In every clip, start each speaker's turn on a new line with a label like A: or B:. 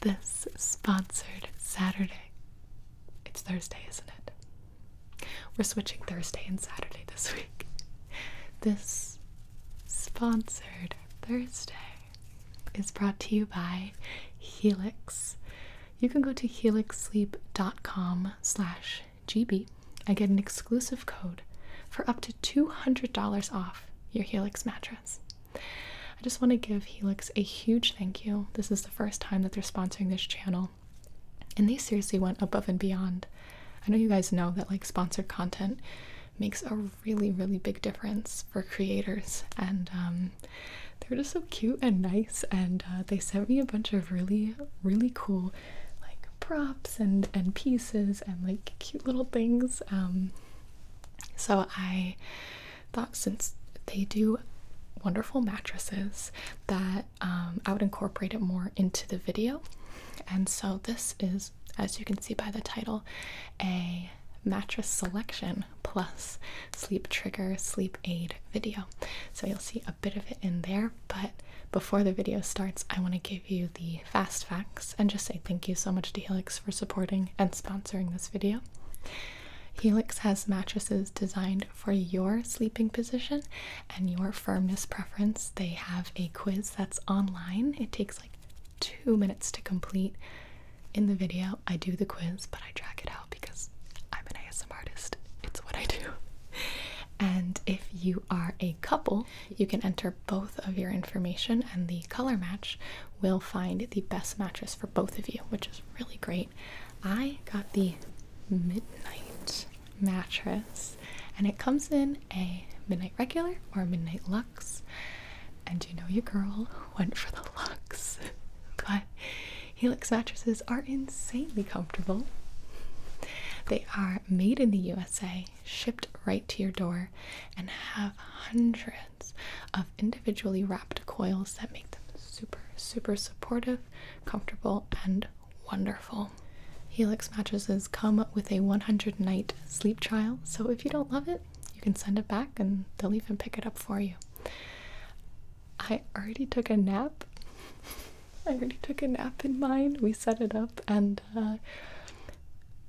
A: This sponsored Saturday. It's Thursday, isn't it? We're switching Thursday and Saturday this week. This sponsored Thursday is brought to you by Helix. You can go to helixsleep.com slash GB. I get an exclusive code for up to $200 off your Helix mattress. I just want to give Helix a huge thank you. This is the first time that they're sponsoring this channel, and they seriously went above and beyond. I know you guys know that like sponsored content makes a really, really big difference for creators, and um, they're just so cute and nice. And uh, they sent me a bunch of really, really cool like props and and pieces and like cute little things. Um, so I thought since they do wonderful mattresses that um, I would incorporate it more into the video. And so this is, as you can see by the title, a mattress selection plus sleep trigger, sleep aid video. So you'll see a bit of it in there, but before the video starts, I want to give you the fast facts and just say thank you so much to Helix for supporting and sponsoring this video. Helix has mattresses designed for your sleeping position and your firmness preference. They have a quiz that's online. It takes like two minutes to complete. In the video, I do the quiz, but I drag it out because I'm an ASM artist. It's what I do. And if you are a couple, you can enter both of your information and the color match will find the best mattress for both of you, which is really great. I got the midnight mattress and it comes in a midnight regular or midnight Lux. And you know your girl went for the Lux, But Helix mattresses are insanely comfortable. They are made in the USA shipped right to your door and have hundreds of individually wrapped coils that make them super, super supportive, comfortable, and wonderful. Helix mattresses come with a 100 night sleep trial, so if you don't love it, you can send it back and they'll even pick it up for you. I already took a nap. I already took a nap in mine. We set it up and uh,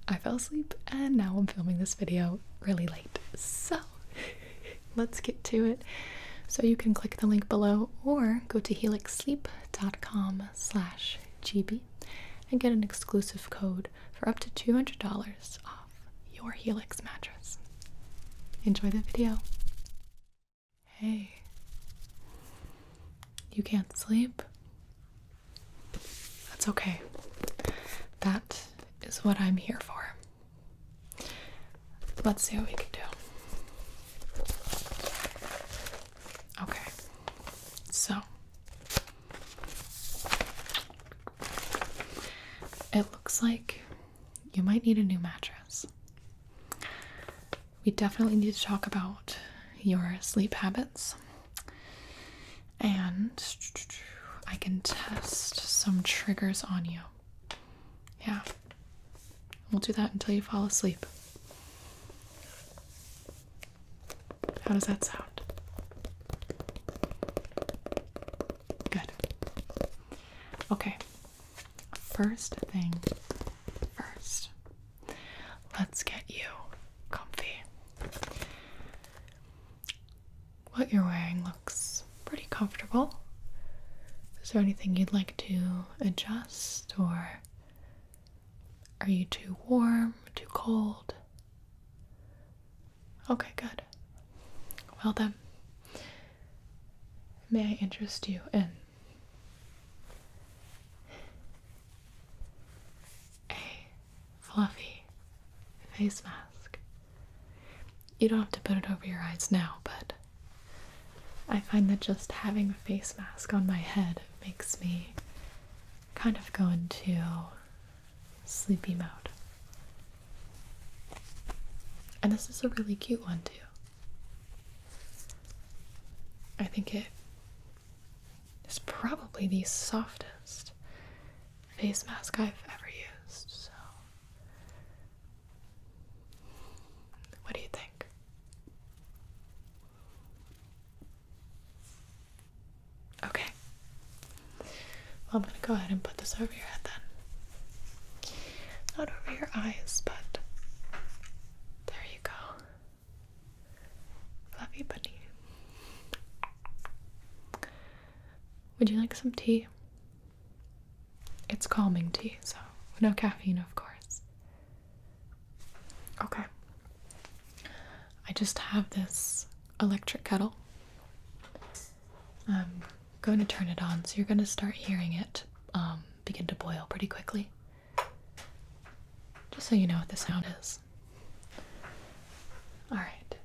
A: I fell asleep and now I'm filming this video really late. So let's get to it. So you can click the link below or go to helixsleep.com slash gb and get an exclusive code for up to $200 off your Helix mattress. Enjoy the video. Hey, you can't sleep? That's okay. That is what I'm here for. Let's see what we can do. Okay. So it looks like you might need a new mattress. We definitely need to talk about your sleep habits and I can test some triggers on you. Yeah. We'll do that until you fall asleep. How does that sound? Good. Okay. First thing first, let's get you comfy what you're wearing looks pretty comfortable. Is there anything you'd like to adjust, or are you too warm, too cold? Okay, good. Well, then, may I interest you in a fluffy face mask. You don't have to put it over your eyes now, but I find that just having a face mask on my head makes me kind of go into sleepy mode. And this is a really cute one, too. I think it it's probably the softest face mask I've ever used, so. What do you think? Okay. I'm gonna go ahead and put this over your head then. Not over your eyes, but there you go. Fluffy bunny. Would you like some tea? It's calming tea, so no caffeine, of course. Okay. I just have this electric kettle. I'm going to turn it on, so you're going to start hearing it um, begin to boil pretty quickly. Just so you know what the sound is. All right.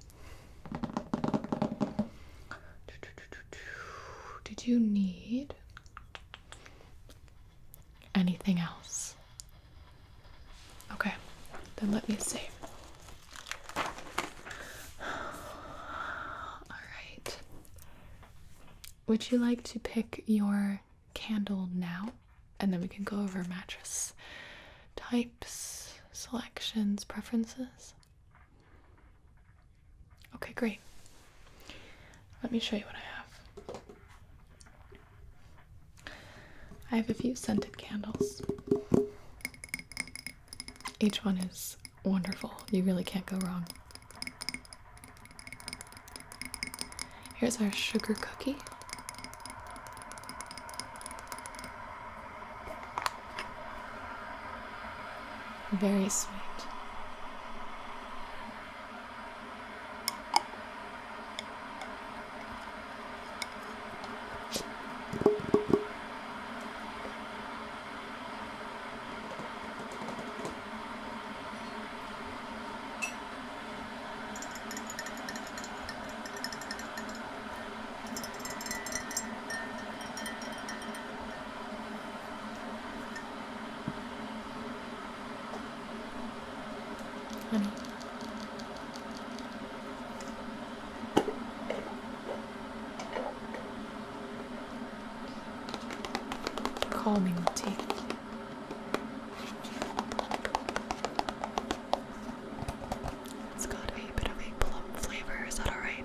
A: Did you need anything else? Okay, then let me see. All right. Would you like to pick your candle now? and then we can go over mattress types, selections, preferences. Okay, great. Let me show you what I have. I have a few scented candles. Each one is wonderful. You really can't go wrong. Here's our sugar cookie. Very sweet. Honey. Calming tea. It's got a bit of a plum flavor, is that alright?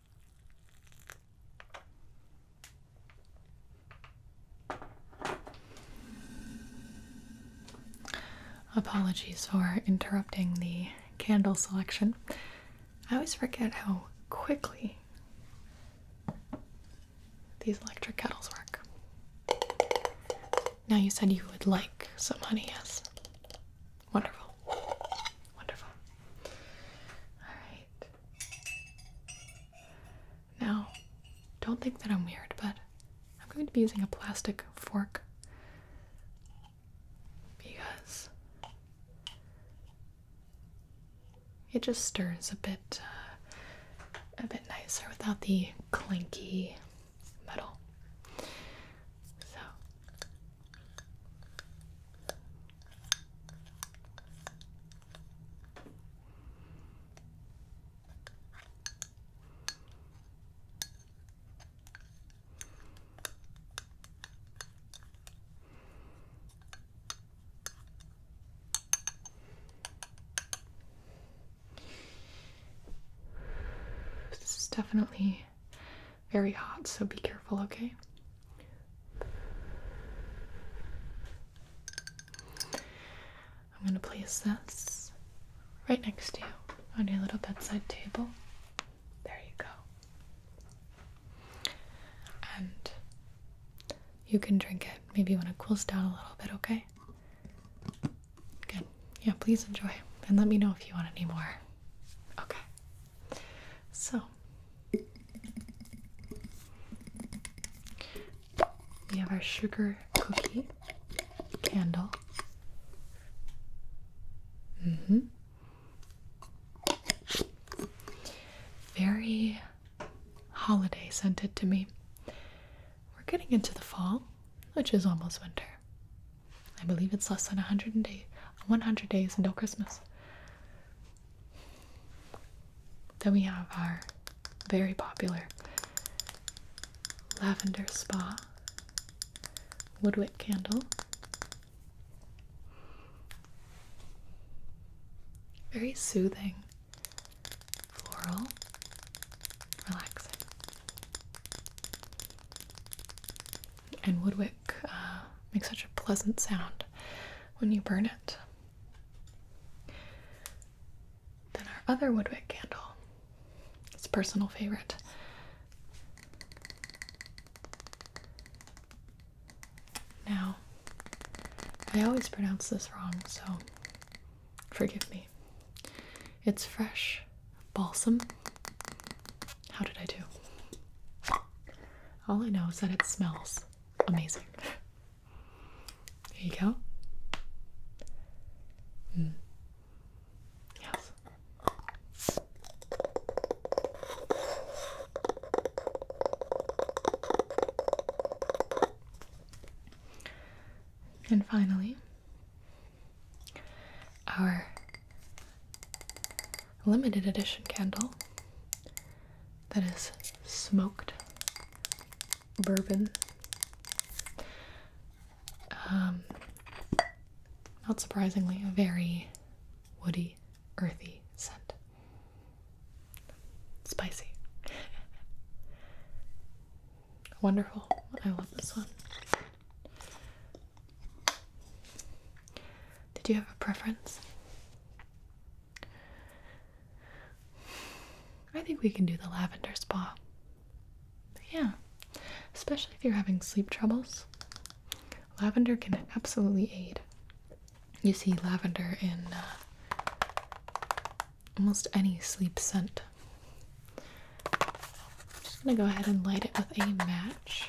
A: Apologies for interrupting the candle selection. I always forget how quickly these electric kettles work. Now, you said you would like some honey, yes? Wonderful. Wonderful. Alright. Now, don't think that I'm weird, but I'm going to be using a plastic fork because it just stirs a bit uh, a bit nicer without the clinky metal. So this is definitely very hot, so be careful, okay? I'm going to place this right next to you on your little bedside table. There you go. And you can drink it maybe when it cools down a little bit, okay? Good. Yeah, please enjoy. And let me know if you want any more. Okay. So, we have our sugar cookie candle. Mm-hmm. Very holiday scented to me. We're getting into the fall, which is almost winter. I believe it's less than 100 days until Christmas. Then we have our very popular lavender spa woodwick candle. Very soothing, floral, relaxing. And woodwick uh, make such a pleasant sound when you burn it. Then our other Woodwick candle. It's personal favorite. Now, I always pronounce this wrong, so forgive me. It's fresh balsam how did I do? All I know is that it smells amazing. Here you go. Hmm. Yes. And finally, our limited edition candle that is smoked bourbon. Um, not surprisingly, a very woody, earthy scent. Spicy. Wonderful. I love this one. Did you have a preference? I think we can do the lavender spa. Yeah, especially if you're having sleep troubles. Lavender can absolutely aid. You see lavender in uh, almost any sleep scent. I'm just gonna go ahead and light it with a match.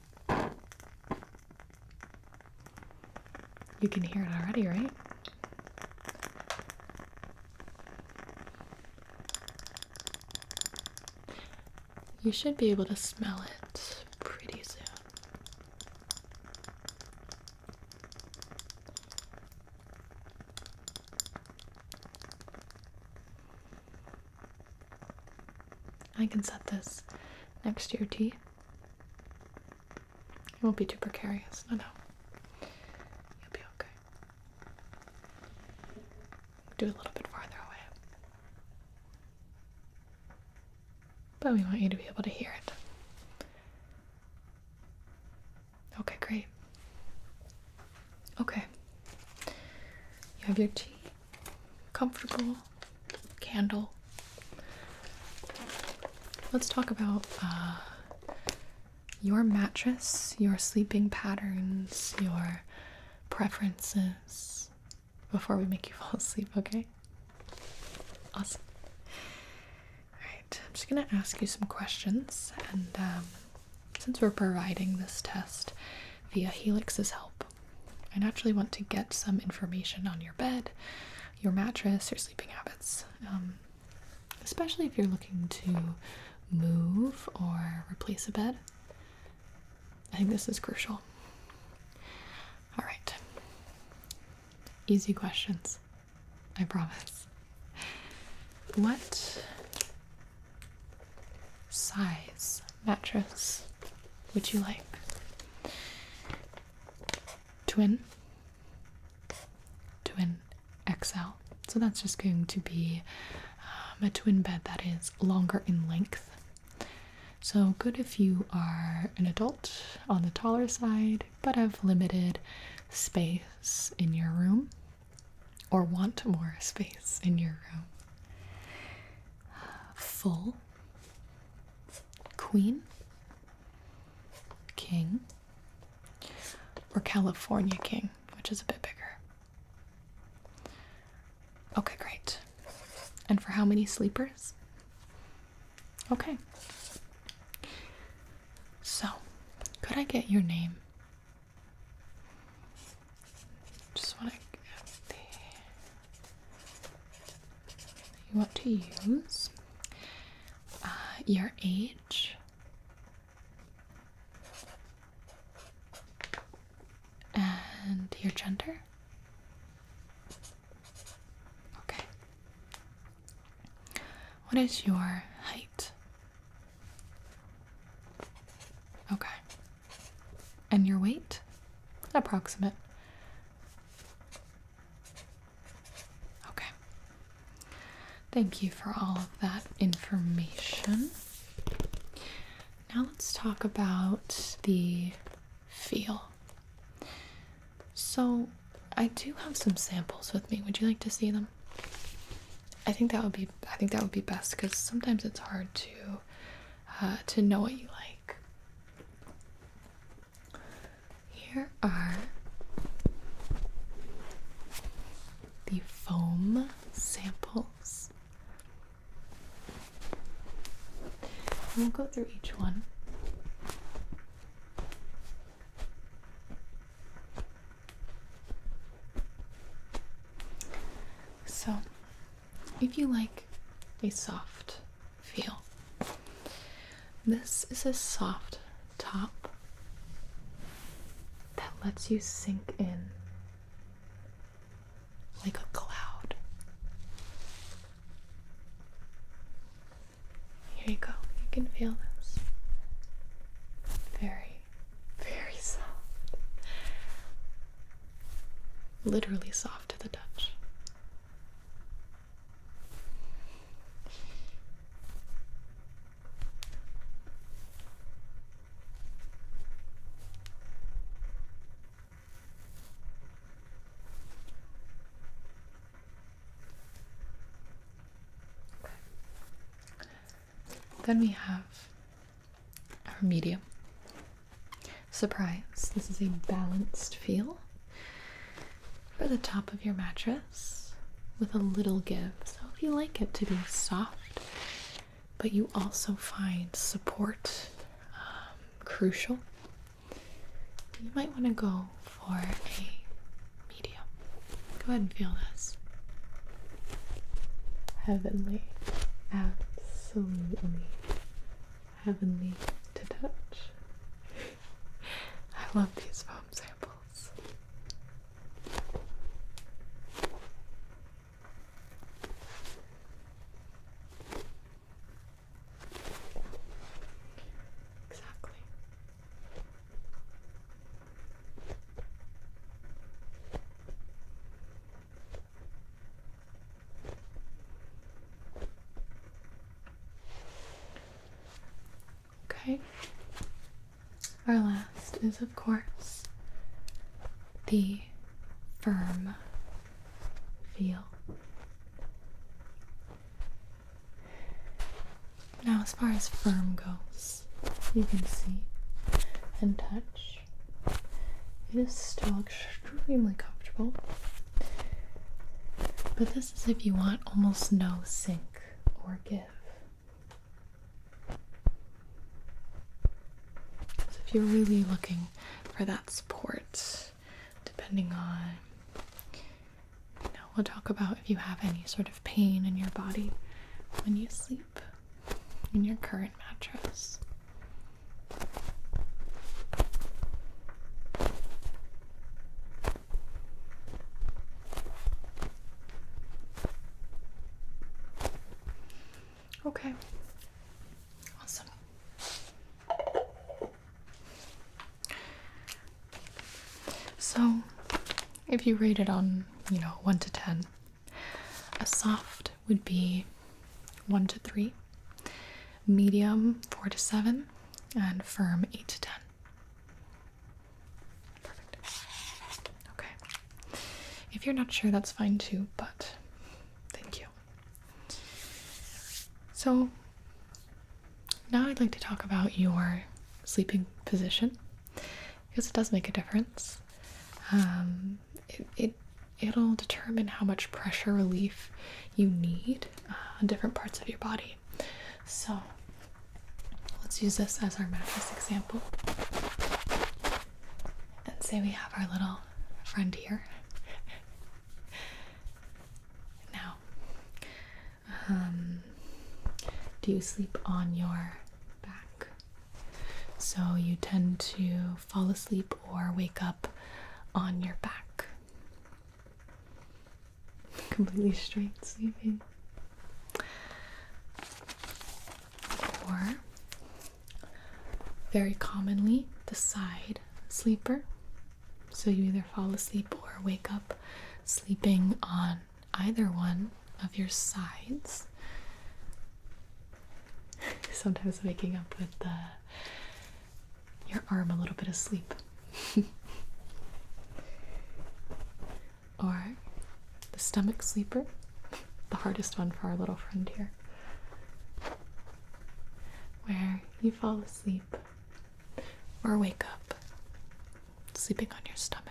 A: You can hear it already, right? You should be able to smell it pretty soon. I can set this next to your tea it won't be too precarious. No, no. You'll be okay. Do a little bit farther away. But we want you to be able to hear it. Okay, great. Okay. You have your tea. Comfortable candle. Let's talk about uh, your mattress, your sleeping patterns, your preferences before we make you fall asleep, okay? Awesome. Alright, I'm just gonna ask you some questions, and um, since we're providing this test via Helix's help, I naturally want to get some information on your bed, your mattress, your sleeping habits, um, especially if you're looking to move or replace a bed. I think this is crucial. All right. Easy questions. I promise. What size mattress would you like? twin twin XL. So that's just going to be um, a twin bed that is longer in length. So good if you are an adult on the taller side but have limited space in your room or want more space in your room. Full Queen, King, or California King, which is a bit bigger. Okay, great. And for how many sleepers? Okay. So, could I get your name? Just want to you want to use, uh, your age, and your gender. Okay. What is your height? Okay. And your weight? Approximate. Okay. Thank you for all of that information. Now let's talk about the feel. So, I do have some samples with me. Would you like to see them? I think that would be I think that would be best cuz sometimes it's hard to uh, to know what you like. Here are the foam samples. We'll go through each one. So, if you like a soft feel. This is a soft top that lets you sink in like a cloud. Here you go, you can feel this. Very, very soft. Literally soft to the touch. Then we have our medium. Surprise, this is a balanced feel for the top of your mattress with a little give. So, if you like it to be soft, but you also find support um, crucial, you might want to go for a medium. Go ahead and feel this. Heavenly, absolutely heavenly to touch. I love these foam samples. Exactly. Okay. Our last is, of course, the firm feel. Now, as far as firm goes, you can see and touch. It is still extremely comfortable. But this is if you want almost no sink or give. if you're really looking for that support, depending on, you know, we'll talk about if you have any sort of pain in your body when you sleep in your current mattress. Okay. Awesome. So, if you rate it on, you know, 1 to 10, a soft would be 1 to 3, medium 4 to 7, and firm 8 to 10. Perfect. Okay. If you're not sure, that's fine too, but thank you. So, now I'd like to talk about your sleeping position because it does make a difference. Um, it, it it'll determine how much pressure relief you need uh, on different parts of your body. So let's use this as our mattress example. And say we have our little friend here. now, um, do you sleep on your back? So you tend to fall asleep or wake up on your back completely straight sleeping. Or very commonly the side sleeper. So you either fall asleep or wake up sleeping on either one of your sides. Sometimes waking up with the your arm a little bit asleep, or the stomach sleeper, the hardest one for our little friend here, where you fall asleep or wake up sleeping on your stomach.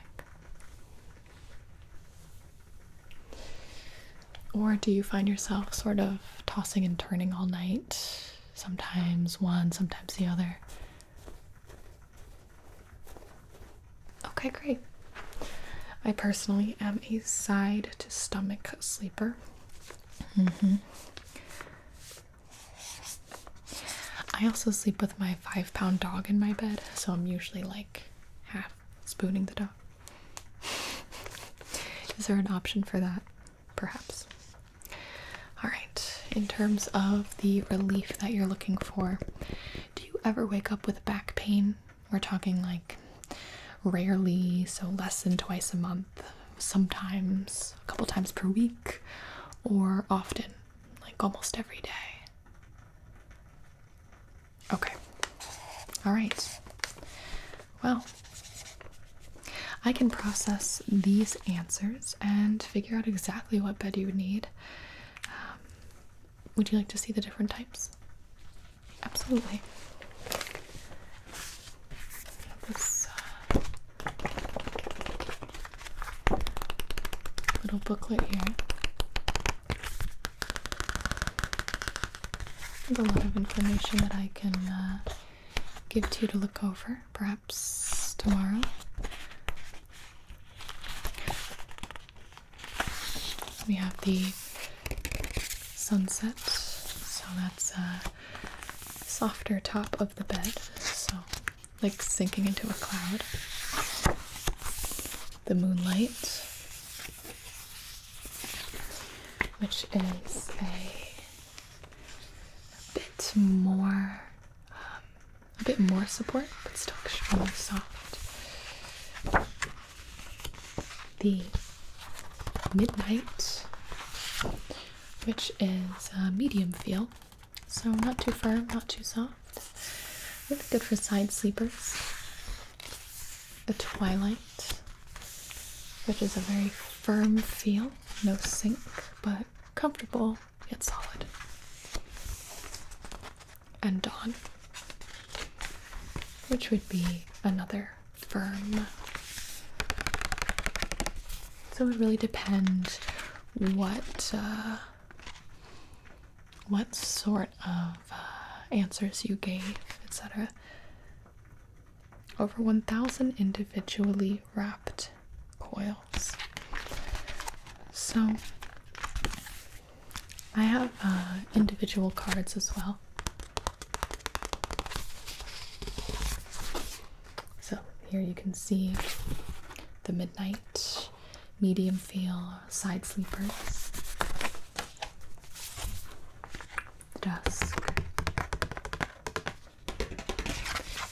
A: Or do you find yourself sort of tossing and turning all night? sometimes one, sometimes the other. Okay, great. I personally am a side to stomach sleeper. Mm -hmm. I also sleep with my five pound dog in my bed, so I'm usually like half spooning the dog. Is there an option for that? perhaps. All right, in terms of the relief that you're looking for, do you ever wake up with back pain? We're talking like rarely, so less than twice a month, sometimes a couple times per week, or often, like almost every day. Okay. All right. Well, I can process these answers and figure out exactly what bed you would need. Um, would you like to see the different types? Absolutely. This uh, little booklet here. There's a lot of information that I can uh, give to you to look over. Perhaps tomorrow. We have the sunset, so that's a softer top of the bed, so like sinking into a cloud. The moonlight, which is a a bit more, um, a bit more support, but still extremely soft. The Midnight, which is a medium feel, so not too firm, not too soft. Really good for side sleepers. The Twilight, which is a very firm feel, no sink but comfortable yet solid. And Dawn, which would be another firm. So it would really depend what uh, what sort of uh, answers you gave, etc over 1,000 individually wrapped coils. So I have uh, individual cards as well. So here you can see the midnight, medium feel, side sleepers, dusk,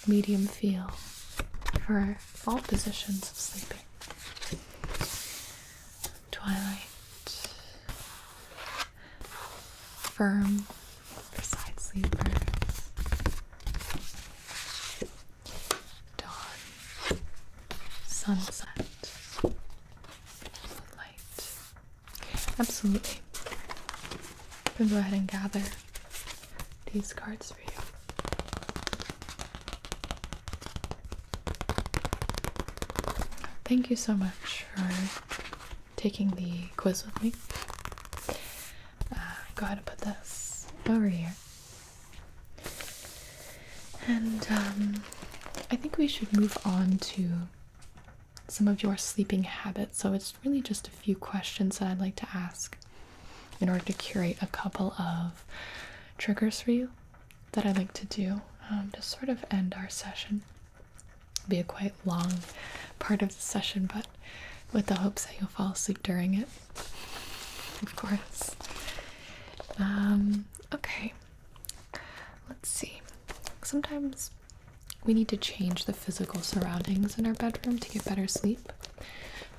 A: medium feel for all positions of sleeping. Twilight, firm for side sleepers. Dawn, sunset, moonlight. Absolutely. Then go ahead and gather these cards for you. Thank you so much for taking the quiz with me. Uh, go ahead and put this over here. And um, I think we should move on to some of your sleeping habits. So it's really just a few questions that I'd like to ask in order to curate a couple of triggers for you that I like to do um, to sort of end our session. It'll be a quite long part of the session, but with the hopes that you'll fall asleep during it, of course. Um, okay, let's see. Sometimes we need to change the physical surroundings in our bedroom to get better sleep.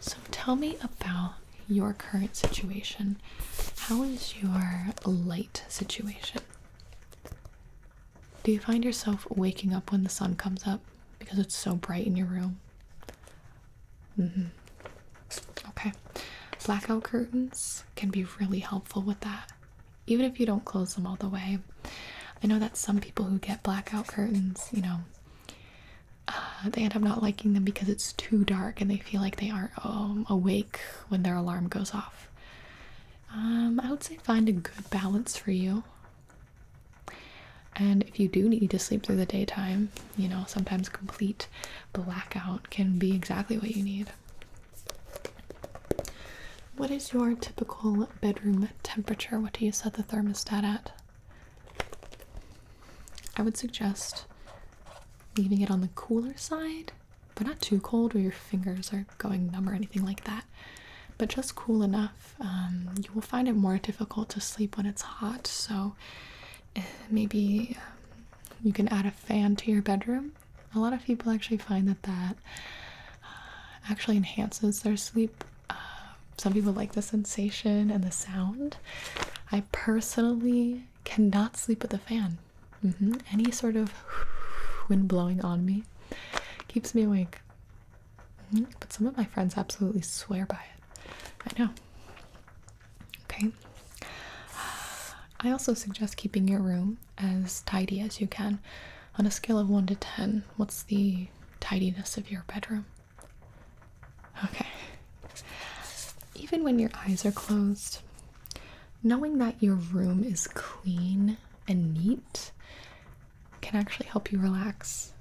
A: So tell me about your current situation. How is your light situation? Do you find yourself waking up when the sun comes up because it's so bright in your room? hmm Okay. Blackout curtains can be really helpful with that. Even if you don't close them all the way, I know that some people who get blackout curtains, you know, uh, they end up not liking them because it's too dark and they feel like they aren't um, awake when their alarm goes off. Um, I would say find a good balance for you. And if you do need to sleep through the daytime, you know, sometimes complete blackout can be exactly what you need. What is your typical bedroom temperature? What do you set the thermostat at? I would suggest leaving it on the cooler side, but not too cold where your fingers are going numb or anything like that. But just cool enough. Um, you will find it more difficult to sleep when it's hot, so eh, maybe um, you can add a fan to your bedroom. A lot of people actually find that that uh, actually enhances their sleep uh, some people like the sensation and the sound. I personally cannot sleep with the fan. Mm-hmm. Any sort of wind blowing on me keeps me awake. Mm-hmm. But some of my friends absolutely swear by it. I know. Okay. I also suggest keeping your room as tidy as you can. On a scale of 1 to 10, what's the tidiness of your bedroom? Okay. Even when your eyes are closed, knowing that your room is clean and neat can actually help you relax.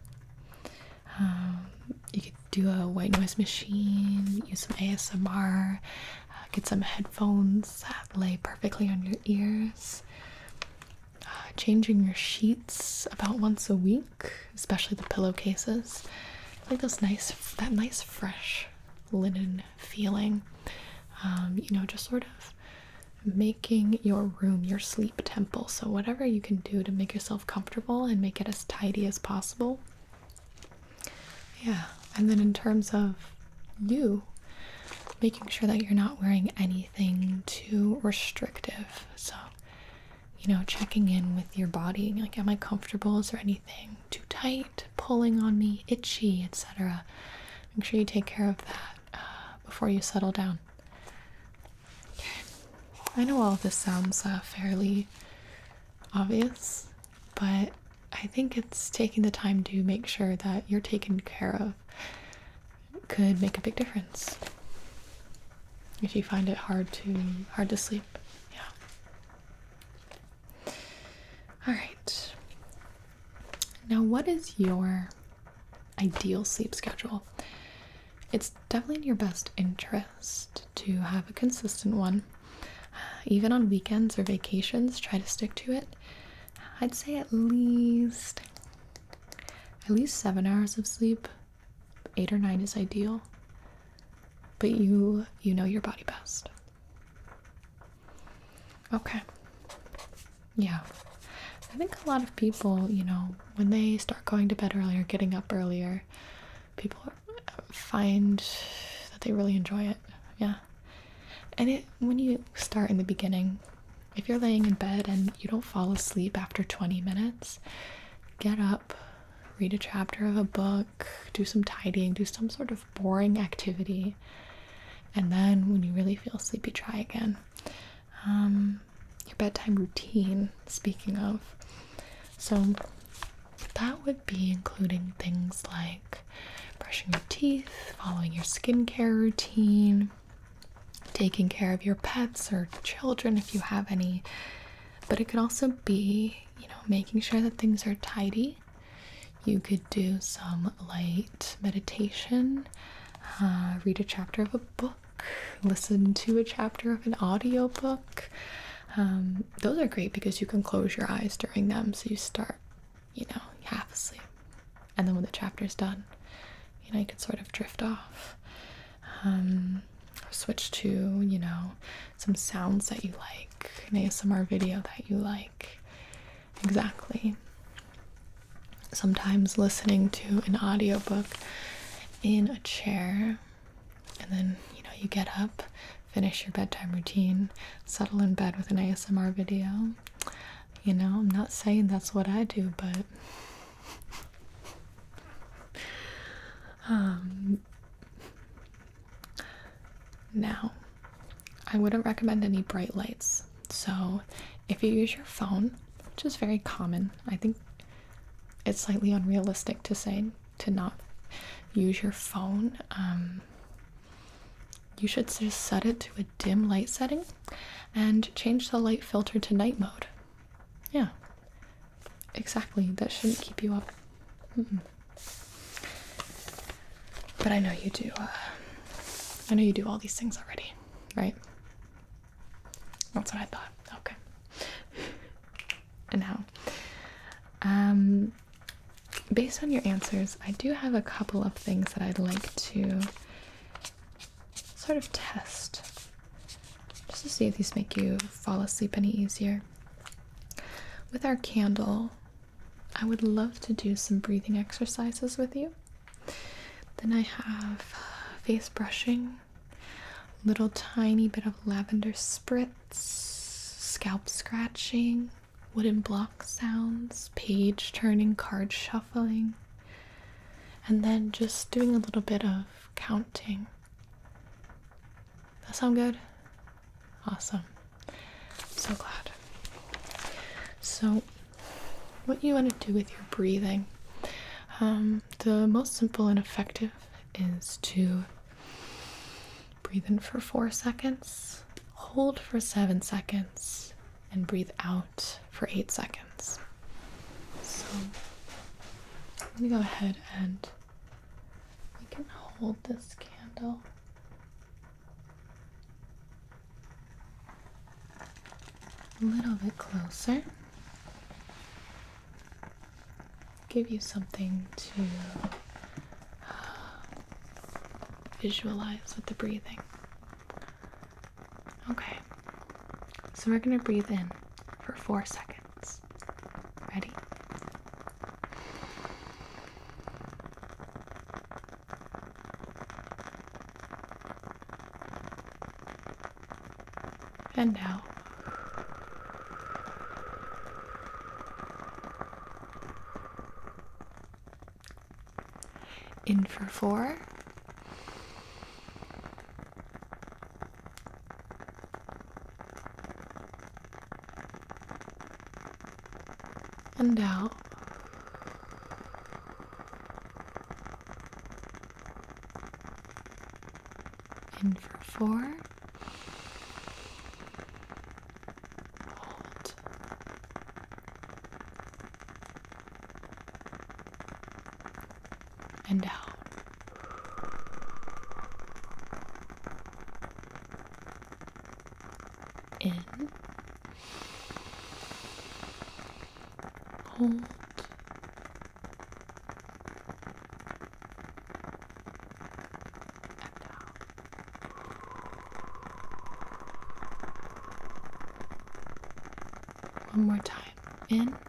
A: Um, you could do a white noise machine, use some ASMR, uh, get some headphones that lay perfectly on your ears changing your sheets about once a week, especially the pillowcases. like those nice, that nice fresh linen feeling. Um, you know, just sort of making your room your sleep temple. So whatever you can do to make yourself comfortable and make it as tidy as possible. Yeah, and then in terms of you, making sure that you're not wearing any anything too restrictive. So, you know, checking in with your body like, am I comfortable? Is there anything too tight, pulling on me, itchy, etc.? Make sure you take care of that uh, before you settle down. I know all this sounds uh, fairly obvious, but I think it's taking the time to make sure that you're taken care of could make a big difference if you find it hard to hard to sleep. Yeah. All right. Now, what is your ideal sleep schedule? It's definitely in your best interest to have a consistent one. Even on weekends or vacations, try to stick to it. I'd say at least at least seven hours of sleep. Eight or nine is ideal. But you you know your body best. Okay. Yeah. I think a lot of people, you know, when they start going to bed earlier, getting up earlier, people find that they really enjoy it. Yeah. And it when you start in the beginning, if you're laying in bed and you don't fall asleep after 20 minutes, get up, read a chapter of a book, do some tidying, do some sort of boring activity, and then when you really feel sleepy, try again. Um, your bedtime routine, speaking of. So that would be including things like brushing your teeth, following your skincare routine, taking care of your pets or children if you have any. But it could also be, you know, making sure that things are tidy. You could do some light meditation, uh, read a chapter of a book, listen to a chapter of an audio book. Um, those are great because you can close your eyes during them, so you start, you know, half asleep and then when the chapter is done, you know, you can sort of drift off. Um, switch to, you know, some sounds that you like, an ASMR video that you like. Exactly. Sometimes listening to an audiobook in a chair, and then, you know, you get up, finish your bedtime routine, settle in bed with an ASMR video. You know, I'm not saying that's what I do, but um, now I wouldn't recommend any bright lights. So, if you use your phone, which is very common, I think it's slightly unrealistic to say to not use your phone. Um, you should just set it to a dim light setting and change the light filter to night mode. Yeah, exactly. That shouldn't keep you up. But I know you do. Uh, I know you do all these things already, right? That's what I thought. Okay. and now, Um, based on your answers, I do have a couple of things that I'd like to sort of test just to see if these make you fall asleep any easier. With our candle, I would love to do some breathing exercises with you. Then I have face brushing, little tiny bit of lavender spritz, scalp scratching, wooden block sounds, page turning, card shuffling, and then just doing a little bit of counting. That sound good? Awesome. so glad. So, what you want to do with your breathing, um, the most simple and effective is to breathe in for four seconds, hold for seven seconds, and breathe out for eight seconds. So I'm going to go ahead and we can hold this candle. A little bit closer. Give you something to uh, visualize with the breathing. Okay, so we're going to breathe in for four seconds. Ready? And out. In for four and out. In for four. Hold and out. In. Hold. And out. One more time. In.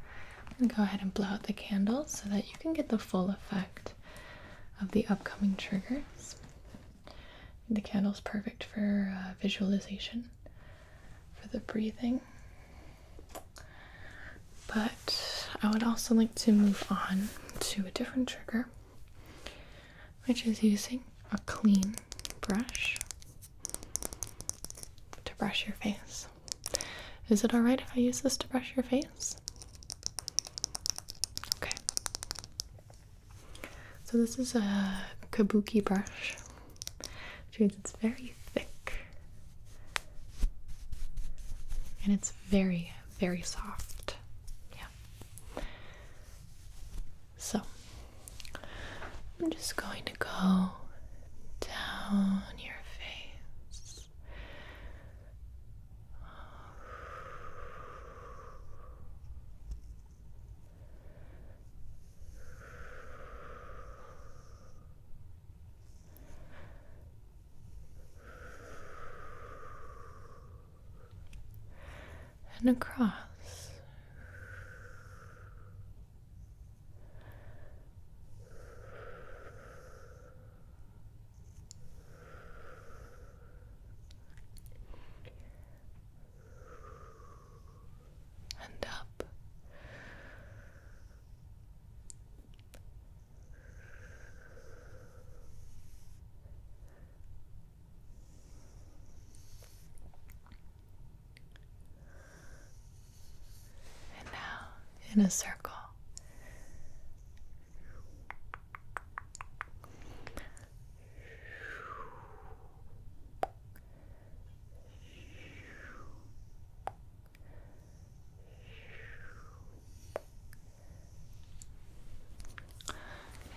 A: I'm going to go ahead and blow out the candle so that you can get the full effect of the upcoming triggers. The candle's perfect for uh, visualization, for the breathing. But I would also like to move on to a different trigger, which is using a clean brush to brush your face. Is it alright if I use this to brush your face? Okay. So, this is a kabuki brush, which means it's very thick and it's very, very soft. Yeah. So, I'm just going to go down your face. And across and up. And now in a circle.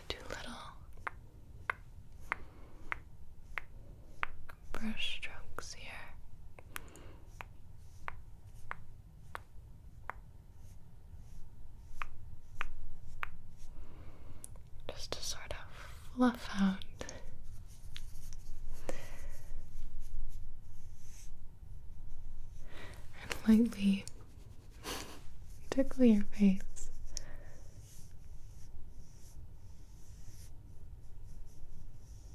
A: do little brush strokes here. Just to sort of fluff out and lightly tickle your face.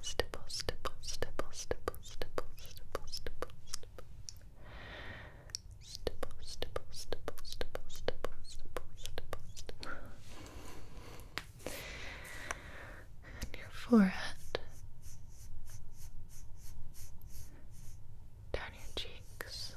A: stipple, stipple, stipple, stipple, stipple, stipple, stipple, stipple. Stipple, stipple, stipple, stipple, stipple, stipple, stipple, stipple. And your forehead. Down your cheeks.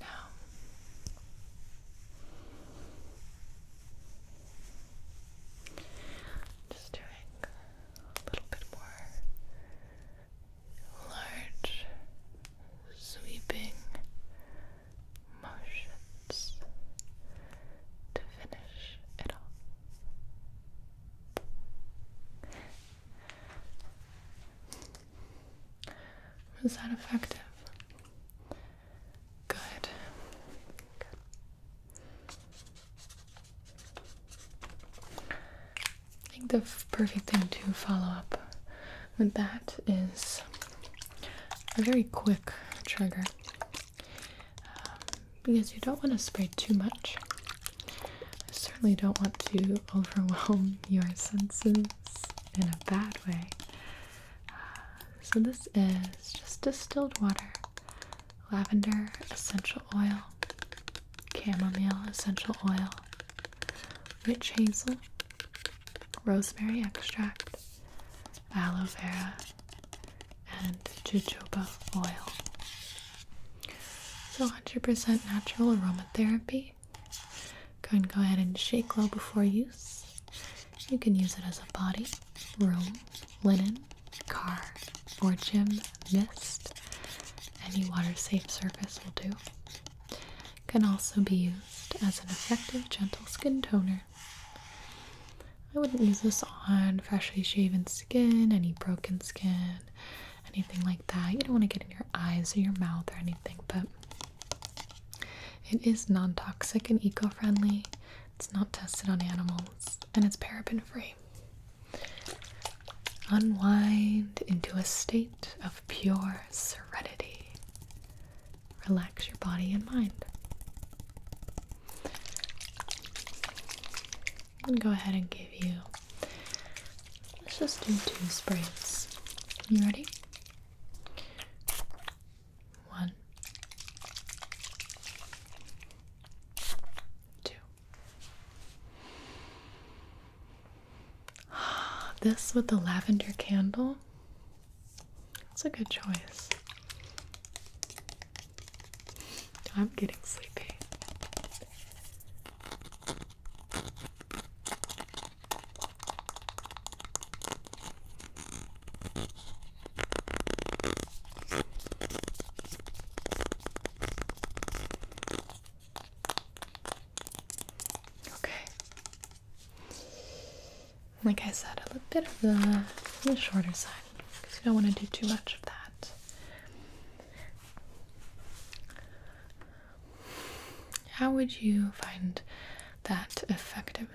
A: Now, just doing a little bit more large sweeping motions to finish it off. Was that effective? Good. I think the perfect thing to follow up with that is a very quick trigger um, because you don't want to spray too much. I certainly don't want to overwhelm your senses in a bad way. So, this is just distilled water, lavender essential oil, chamomile essential oil, witch hazel, rosemary extract, aloe vera, and jojoba oil. So, 100% natural aromatherapy. Go and go ahead and shake well before use. You can use it as a body, room, linen, car, or gym mist. Any water-safe surface will do. Can also be used as an effective gentle skin toner. I wouldn't use this on freshly shaven skin, any broken skin, anything like that. You don't want to get in your eyes or your mouth or anything, but it is non toxic and eco friendly, it's not tested on animals, and it's paraben free. Unwind into a state of pure serenity. Relax your body and mind. I'm gonna go ahead and give you. Let's just do two sprays. You ready? One, two. This with the lavender candle. That's a good choice. I'm getting sleepy. Okay. Like I said, a little bit of the, the shorter side because you don't want to do too much of that. How would you find that effective?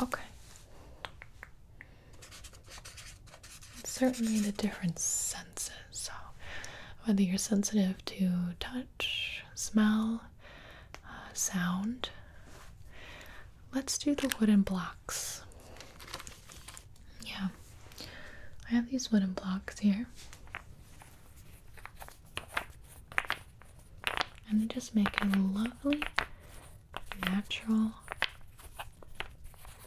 A: Okay. Certainly the different senses. So, whether you're sensitive to touch, smell, uh, sound, let's do the wooden blocks. Yeah, I have these wooden blocks here and they just make a lovely natural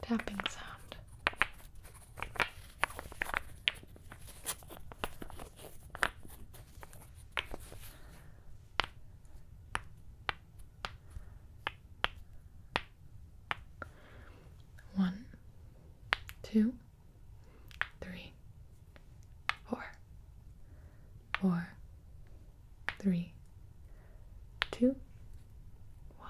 A: tapping sound. One, two three, four, four, three, two, one.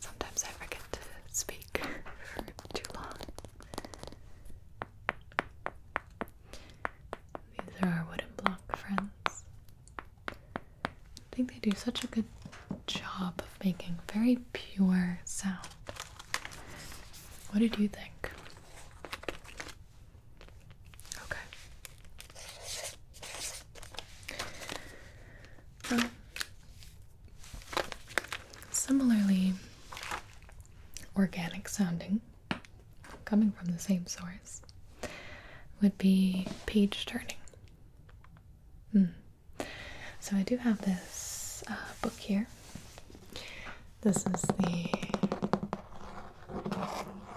A: Sometimes I forget to speak for too long. These are our wooden block friends. I think they do such a good job of making very pure sound. What did you think? Okay. similarly organic sounding, coming from the same source, would be page turning. Hmm. So I do have this uh, book here. This is the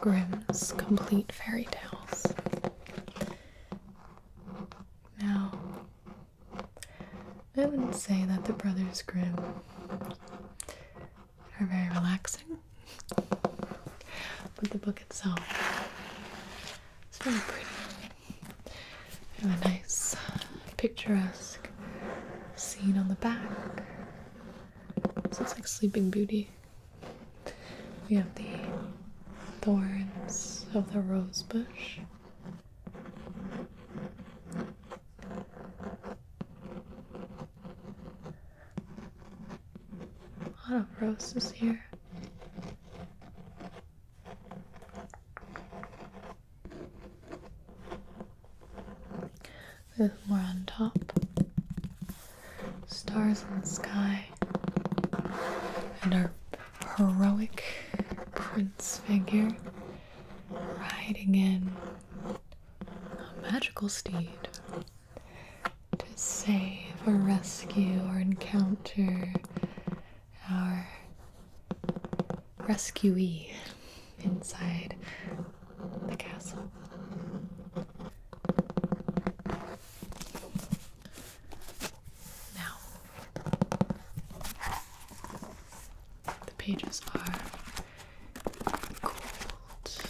A: Grimm's Complete Fairy Tales. Now, I wouldn't say that the Brothers Grimm are very relaxing, but the book itself its very pretty. We have a nice, picturesque scene on the back. So it's like Sleeping Beauty we have the thorns of the rose bush. A lot of roses here. There's more on top stars in the sky, and our heroic prince figure riding in a magical steed to save or rescue or encounter our rescuee inside the castle. Now, the pages are gold,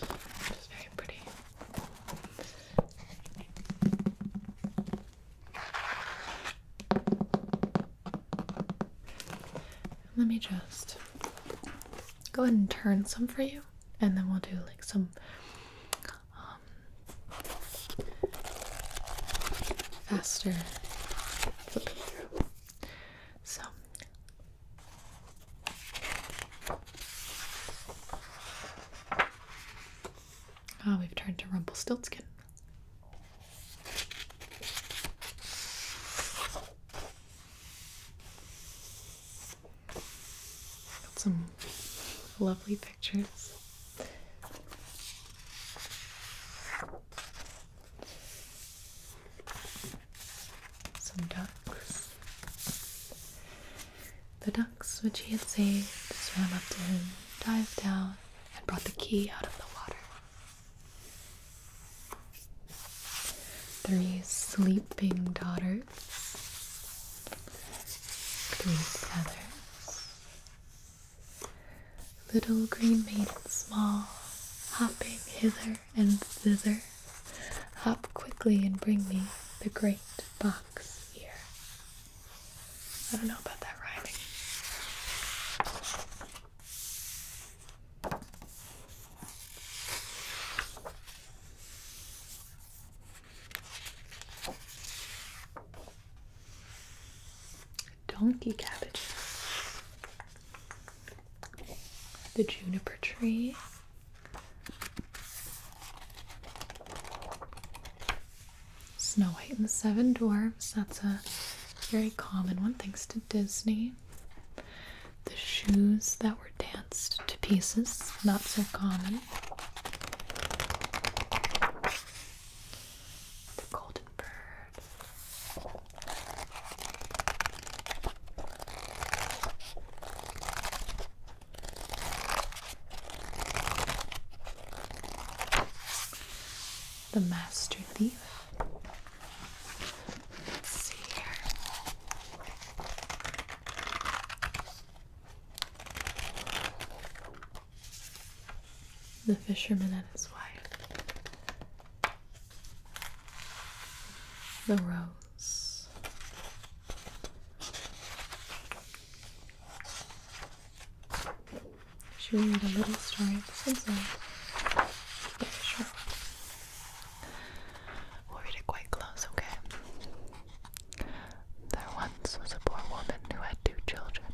A: very pretty. Let me just go ahead and turn some for you, and then we'll do like some faster flipping through. So Ah, we've turned to Rumpelstiltskin. Got some lovely pictures. Some ducks. The ducks which he had saved swam up to him, dived down, and brought the key out of the water. Three sleeping daughters little green maiden small, hopping hither and thither, hop quickly and bring me the great box here. I don't know about that rhyming. Donkey cabbage. The juniper tree. Snow White and the Seven Dwarfs. That's a very common one, thanks to Disney. The shoes that were danced to pieces, not so common. The The master thief. Let's see here. The fisherman and his wife. The rose. Should we read a little story? This one's a short We'll read it quite close, okay? There once was a poor woman who had two children.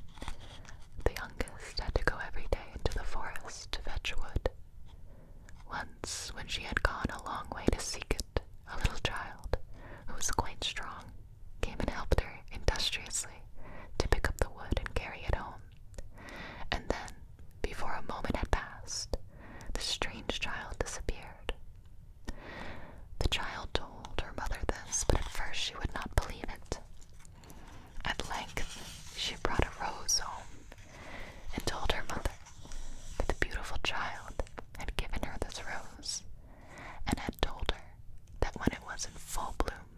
A: The youngest had to go every day into the forest to fetch wood. Once, when she had gone a long way to seek it, a little child, who was quite strong, came and helped her industriously to pick up the wood and carry it home. And then, before a moment had passed, the strange child disappeared. The child told her mother this, but at first she would not believe it. At length, she brought a rose home and told her mother that the beautiful child had given her this rose and had told her that when it was in full bloom,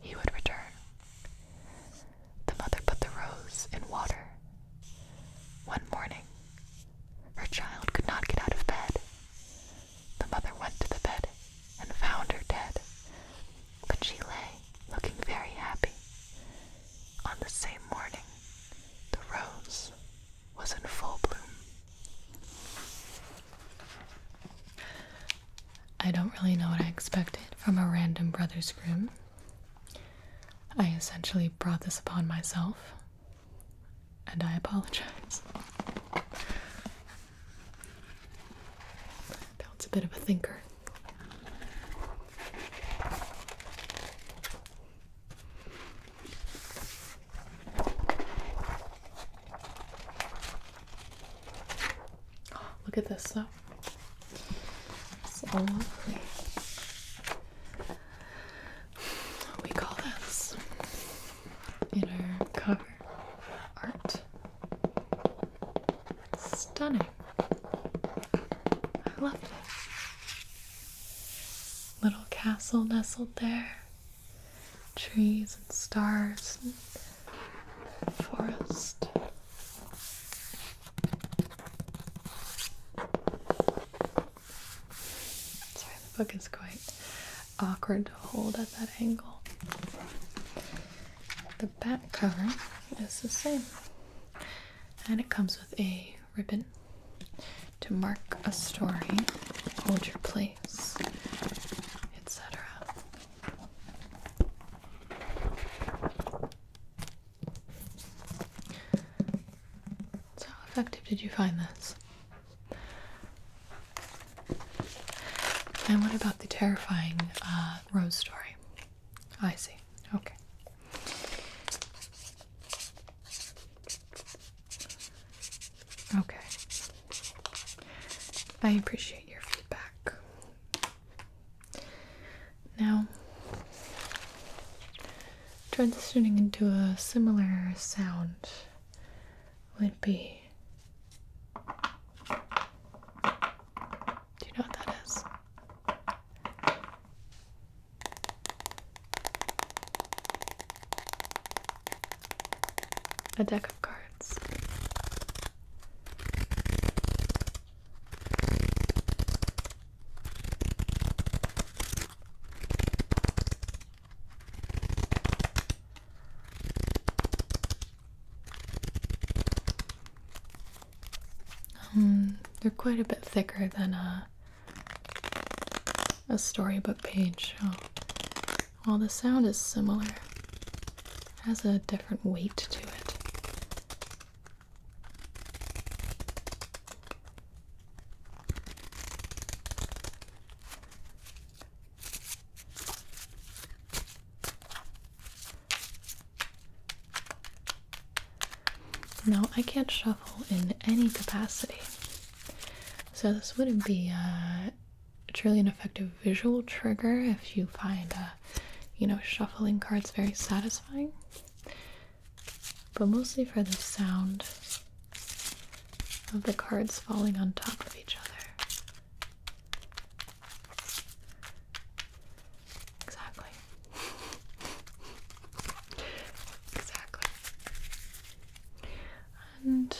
A: he would return. The mother put the rose in water. One morning, her child could not get out of bed. The mother went to the bed and found her dead, but she lay looking very happy. On the same morning, the rose was in full bloom. I don't really know what I expected from a random brother's room. I essentially brought this upon myself and I apologize. That's a bit of a thinker. Oh, look at this though. So lovely we call this inner cover art. Stunning. I loved it. Little castle nestled there. Trees and stars and forest. Sorry, the book is quite awkward to hold at that angle. The back cover is the same, and it comes with a ribbon to mark a story, hold your place, etc. So, effective did you find this? And what about the terrifying uh, Rose story? I see. Okay. Okay. I appreciate your feedback. Now, transitioning into a similar sound would be. Do you know what that is? A deck of cards. Hmm, they're quite a bit thicker than a a storybook page. while the sound is similar, it has a different weight to it. No, I can't shuffle in any capacity. So, this wouldn't be uh, truly an effective visual trigger if you find, uh, you know, shuffling cards very satisfying. But mostly for the sound, of the cards falling on top of each other. Exactly. exactly. And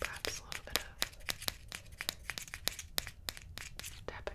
A: perhaps a little bit of tapping.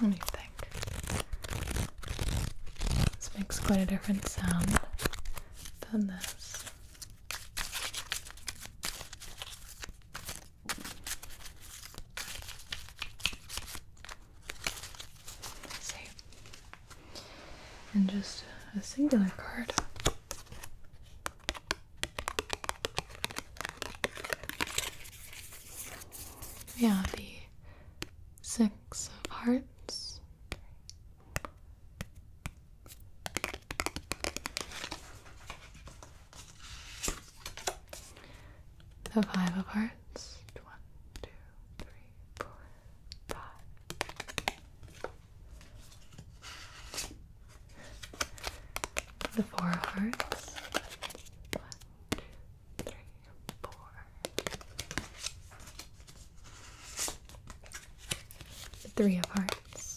A: What do think? This makes quite a different sound than this. see. And just a singular card yeah, the Six of Hearts. The Five of Hearts. The four of hearts. One, two, three, four. The three of hearts.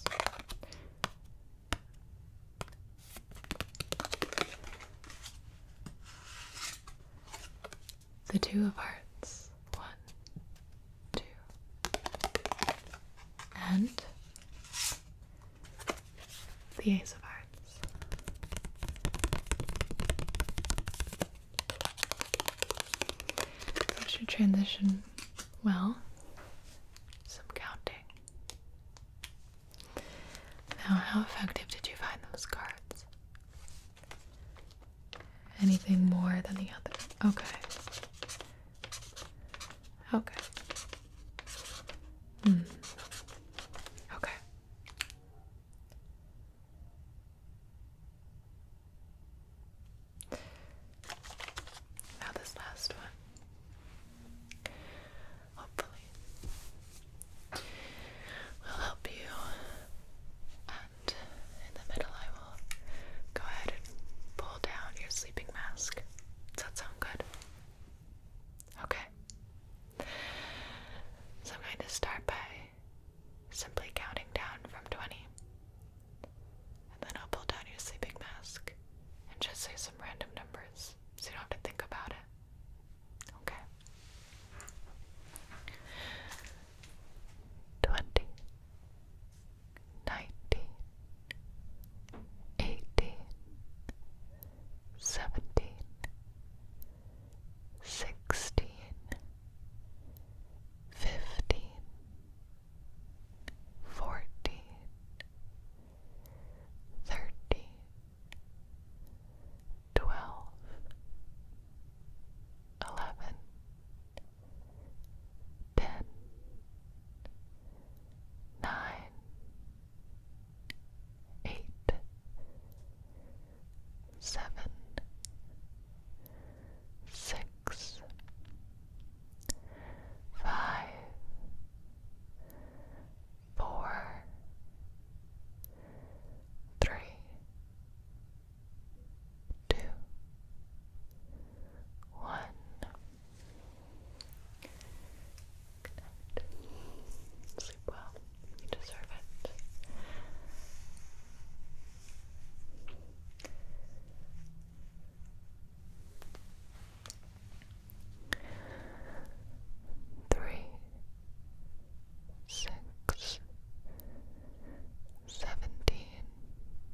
A: The two of hearts. One, two, and the Ace of Hearts. That should transition well. Some counting. Now, how effective did you find those cards? anything more than the other. Okay. Okay. Mm. Okay. Now this last one. Hopefully will help you and in the middle I will go ahead and pull down your sleeping mask. Does that sound good? Okay. So I'm going to start by simply counting down from 20. And then I'll pull down your sleeping mask and just say some random numbers so you don't have to think about it. Okay. 20 nineteen, eighteen, seventeen, sixteen, fifteen, fourteen, thirteen, twelve, eleven, ten, nine, eight, seven, six, five, four, three, two, one. Good Sleep well. You deserve it. Three, six, seventeen,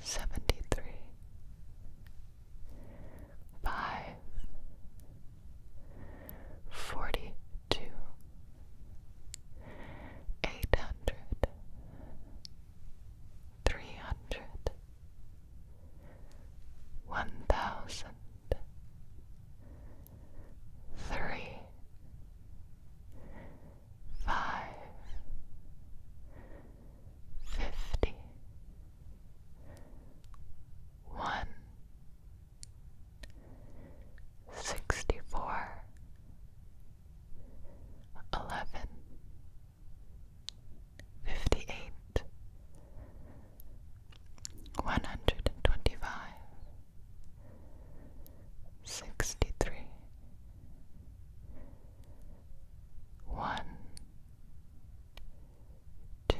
A: seventy three, five, forty two, eight hundred, three hundred, one thousand. Three five, fifty, one, sixty four, eleven, fifty eight, one hundred and twenty five sixty three one two